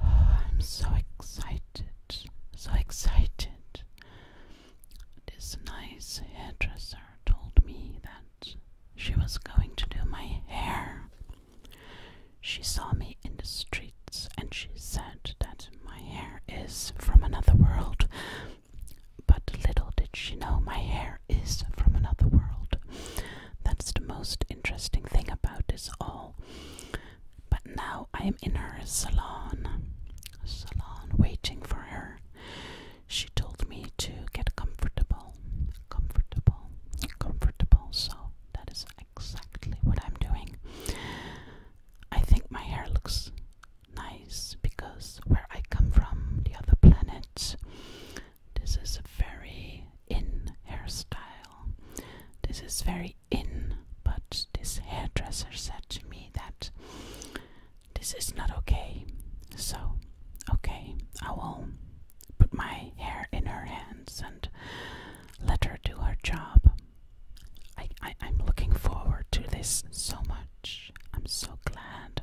I'm so excited, so excited. This nice hairdresser told me that she was going to do my hair. She saw me in the street and she said that my hair is from another world. But little did she know my hair is from another world. That's the most interesting thing about this all. But now I am in her salon, salon waiting for her. She told me to get comfortable, comfortable, comfortable. So that is exactly what I'm doing. I think my hair looks nice because where I come from, the other planet, this is a very in hairstyle. This is very in, but this hairdresser said to me that this is not okay. So, okay, I will put my hair in her hands and let her do her job. I, I, am looking forward to this so much. I'm so glad.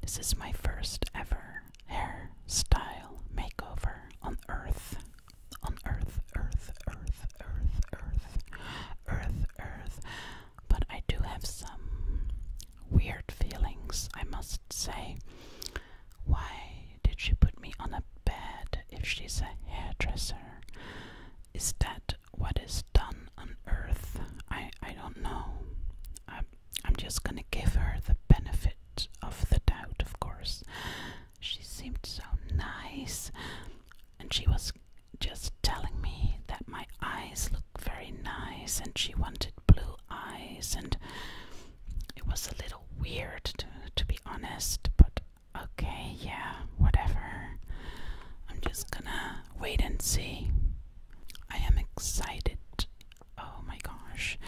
This is my first ever hairstyle makeover on Earth. On Earth, Earth, Earth, Earth, Earth, Earth, Earth. But I do have some weird feelings, I must say. Why did she put me on a bad if she's a hairdresser. Is that what is done on earth? I, I don't know. I'm, I'm just gonna give her the benefit of the doubt, of course. She seemed so nice, and she was just telling me that my eyes look very nice, and she wanted blue eyes, and it was a little weird to, to be honest, but Okay, yeah, whatever. I'm just gonna wait and see. I am excited. Oh my gosh.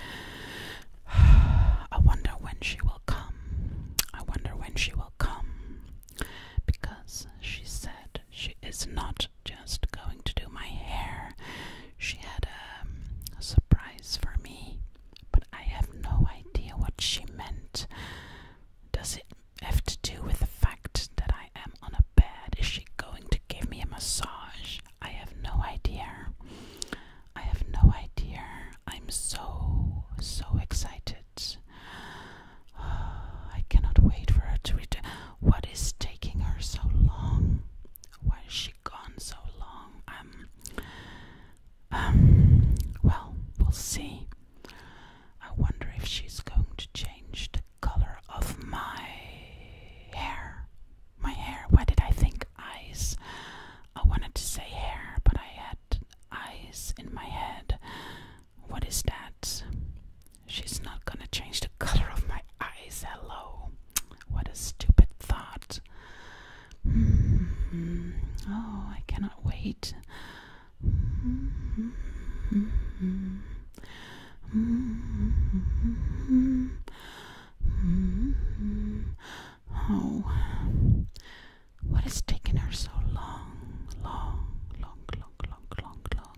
I wonder when she will come. I wonder when she will come. Because she said she is not just going to do my hair. She had um, a, surprise for me, but I have no idea what she meant. Does it have to do with the fact that I am on a bed? Is she going to give me a massage? I have no idea. I have no idea. I'm so, so excited. I cannot wait for her to return. What is taking her so long? Why is she gone so long? Um, um, well, we'll see. I wonder if she's going to change the color of my hair. My hair. Why did I think eyes? I wanted to say hair, but I had eyes in my head. What is that? She's not gonna change the color of my eyes. Hello. What a stupid thought. Mm-hmm. Oh, I cannot wait. Hmm. Hmm. Oh, what has taken her so long, long, long, long, long, long, long?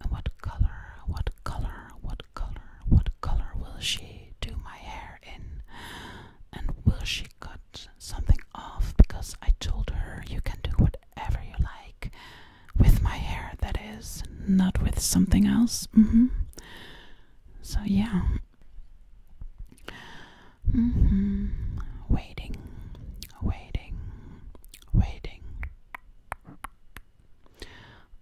And what color, what color, what color, what color will she do my hair? in and will she cut something off because I told her you can do whatever you like with my hair that is not with something else mm-hmm. so yeah mm -hmm. waiting waiting waiting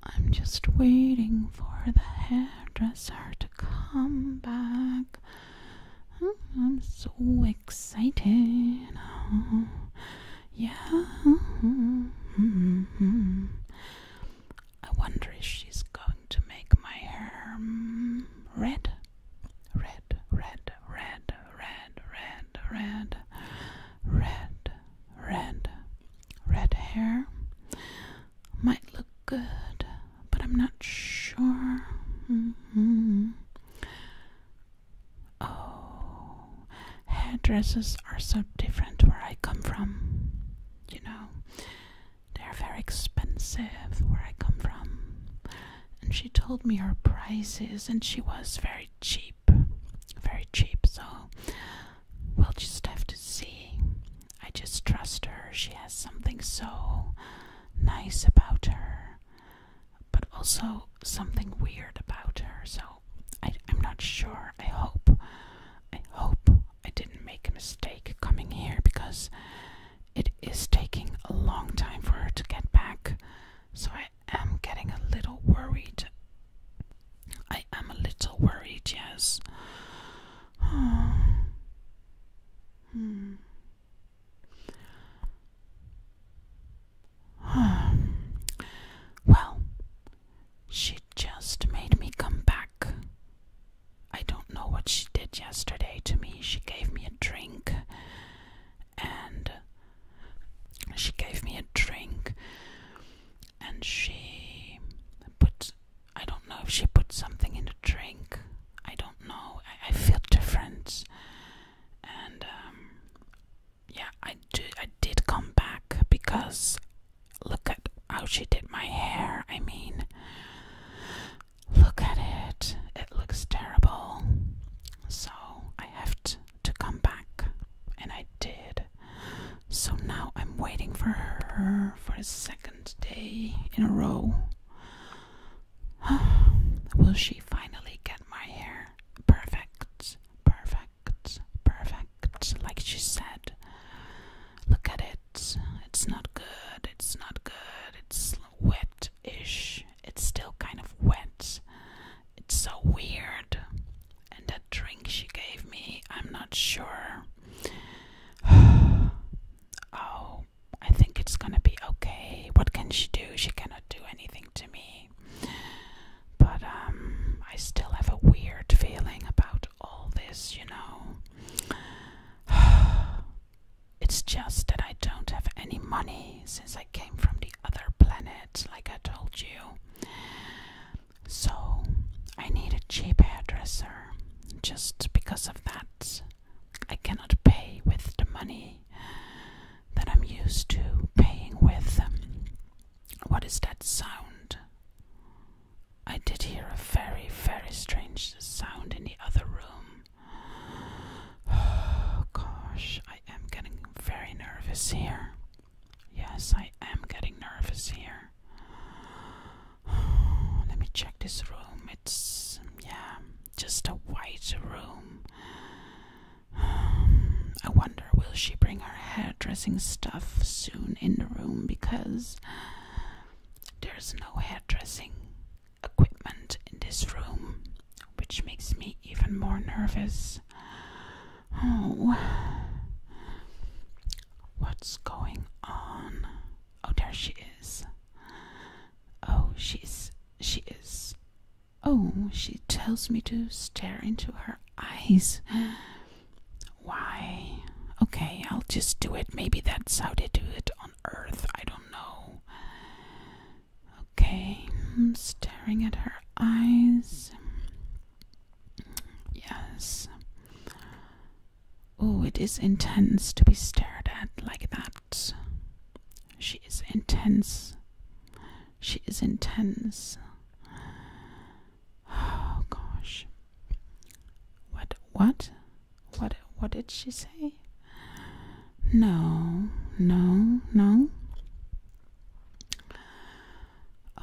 I'm just waiting for the hairdresser to come back. Oh, I'm so excited. Oh, yeah. I wonder if she's going to make my hair mm, red. Red, red, red, red, red, red, red, red, red hair might look good but I'm not sure. Mm Oh, hairdressers are so different where I come from. You know, they're very expensive where I come from. And she told me her prices, and she was very cheap. Very cheap, so we'll just have to see. I just trust her. She has something so nice about her, but also something weird about her. So I, am not sure. I hope, I hope I didn't make a mistake coming here because it is taking a long time for her to get back. So I am getting a little worried. I am a little worried, yes. Hmm. well, she just made me come back. I don't know what she did yesterday to me. She gave me a drink and she gave me a drink and she put I don't know if she put something in the drink. I don't know. I, feel different. And um, yeah, I do. I did come back because look at how she did my hair. I mean, look at it. It looks terrible. So I have to come back, and I did. So now I'm waiting for her for a second day in a row. Will she finally get my hair perfect, perfect, perfect, like she said? Look at it. It's not good. It's not good. It's wet ish. It's still kind of wet. It's so weird. And that drink she gave me, I'm not sure. oh, I think it's gonna be okay. What can she do? She cannot do anything to me. But um, I still have a weird feeling about all this, you know. it's just that I don't have any money since I came from the other planet, like I told you. So I need a cheap hairdresser just because of that, I cannot pay with the money that I'm used to paying with. What is that sound? I did hear a very, very strange sound in the other room. Oh gosh, I am getting very nervous here. Yes, I am getting nervous here. Let me check this room. It's, yeah, just a white room. I wonder, will she bring her hairdressing stuff soon in the room because there's no hairdressing equipment in this room, which makes me even more nervous. Oh, what's going on? Oh, there she is. Oh, she's She is. Oh, she tells me to stare into her eyes. Why? Okay, I'll just do it. Maybe that's how they do it on Earth. I don't know. Okay, I'm hmm, staring at her eyes. Yes. Oh, it is intense to be stared at like that. She is intense. She is intense. Oh gosh. What what? What what did she say? No, no, no.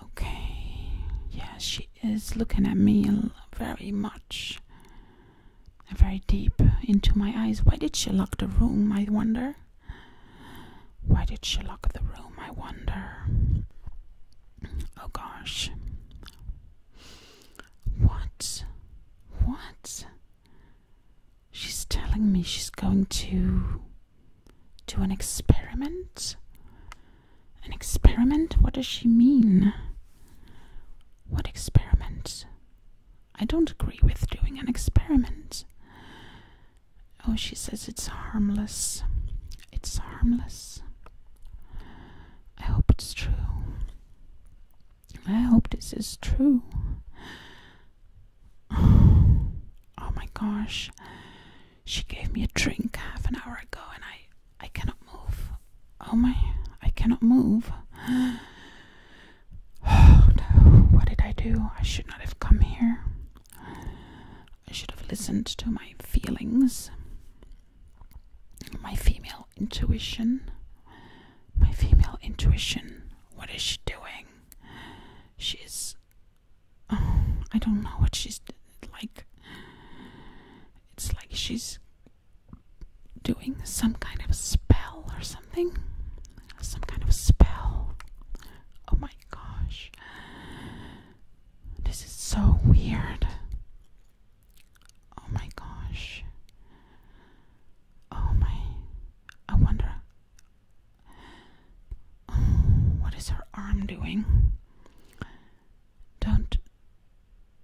Okay. Yes, she is looking at me very much, very deep into my eyes. Why did she lock the room? I wonder. Why did she lock the room? I wonder. Oh gosh. What? What? She's telling me she's going to do an experiment an experiment? What does she mean? What experiment? I don't agree with doing an experiment. Oh, she says it's harmless. It's harmless. I hope it's true. I hope this is true. Oh my gosh. She gave me a drink half an hour ago and I I cannot move. Oh my, I cannot move. Oh no, what did I do? I should not have come here. I should have listened to my feelings, my female intuition. My female intuition, what is she doing? She's. I don't know what she's like it's like she's doing some kind of spell or something. Some kind of spell. Oh my gosh. This is so weird. Oh my gosh. Oh my. I wonder. what is her arm doing? Don't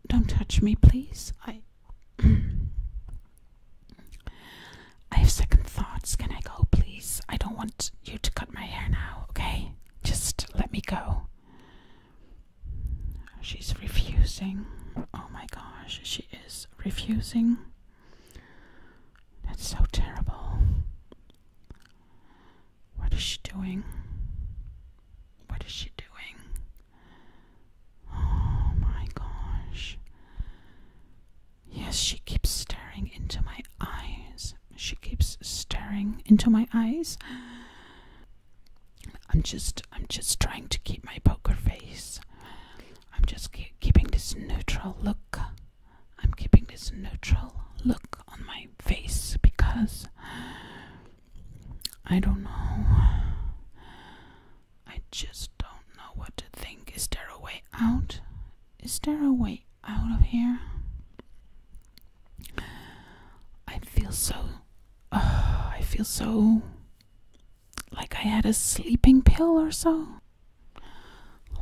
don't touch me, please. I. I have second thoughts. Can I go, please? I don't want you to cut my hair now, okay? Just let me go. She's refusing. Oh my gosh, she is refusing. That's so terrible. What is she doing? What is she doing? Oh my gosh. Yes, she keeps staring into my eyes. She keeps staring into my eyes. I'm just I'm just trying to keep my poker face. I'm just keeping this neutral look. I'm keeping this neutral look on my face because I don't know. I just don't know what to think. Is there a way out? Is there a way out of here? I feel so. I feel so. Like I had a sleeping pill or so.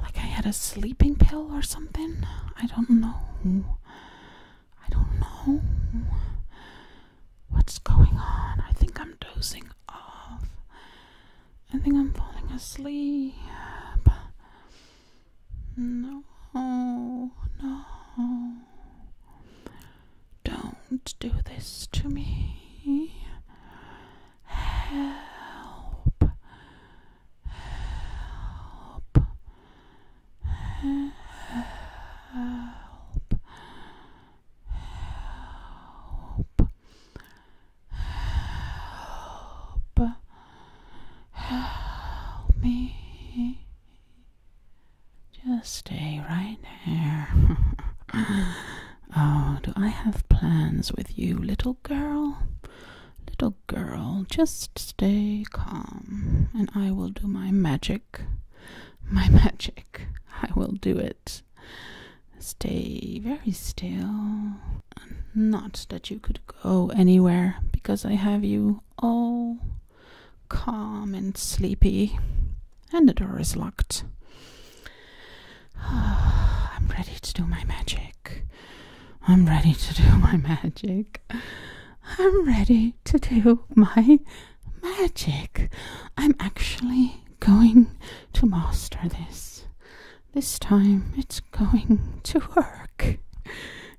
Like I had a sleeping pill or something. I don't know. I don't know what's going on. I think I'm dozing off. I think I'm falling asleep. No, no. Don't do this to me. Help. Help help, help, help, help me. Just stay right there. oh, do I have plans with you, little girl? Little girl, just stay calm, and I will do my magic. My magic. I will do it. Stay very still. Not that you could go anywhere, because I have you all calm and sleepy, and the door is locked. I'm ready to do my magic. I'm ready to do my magic. I'm ready to do my magic. I'm actually going to master this. This time it's going to work.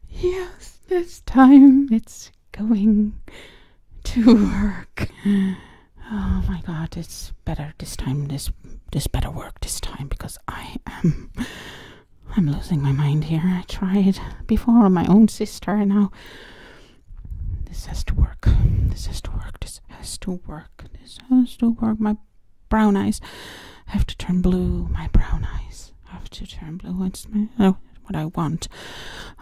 Yes, this time it's going to work. Oh my god, it's better this time. This this better work this time because I am I'm losing my mind here. I tried before on my own sister, and now this has to work. This has to work. This has to work. This has to work. My brown eyes have to turn blue. My brown eyes have to turn blue. It's my, oh, what I want.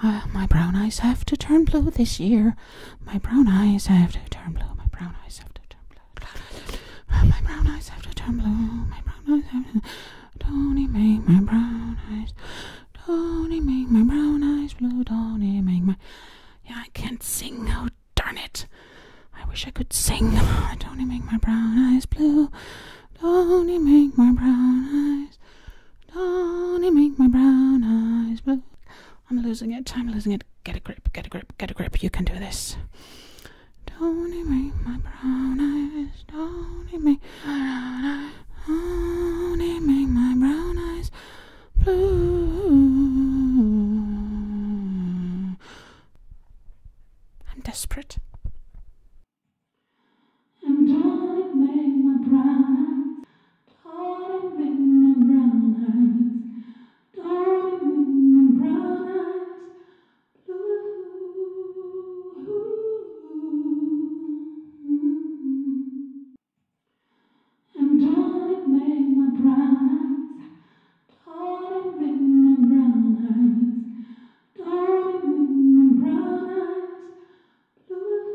Uh, my brown eyes have to turn blue this year. My brown eyes have to turn blue. My brown eyes have to turn blue. My brown eyes have to turn blue. My brown eyes have to. Don't he make my brown eyes? Don't he make my brown eyes blue? Don't he make my. Yeah, I can't sing. Oh, darn it. I wish I could sing. Don't he make my brown eyes blue? Don't he make my brown eyes? Don't he make my brown eyes blue? I'm losing it. I'm losing it. Get a grip. Get a grip. Get a grip. You can do this. Don't make my brown eyes? Don't make my brown eyes? Don't make my brown eyes blue? I'm desperate. don't make my brown eyes? Don't make my brown eyes? Don't make my brown eyes and don't it make my brown eyes, don't make my brown eyes, don't make my brown eyes blue?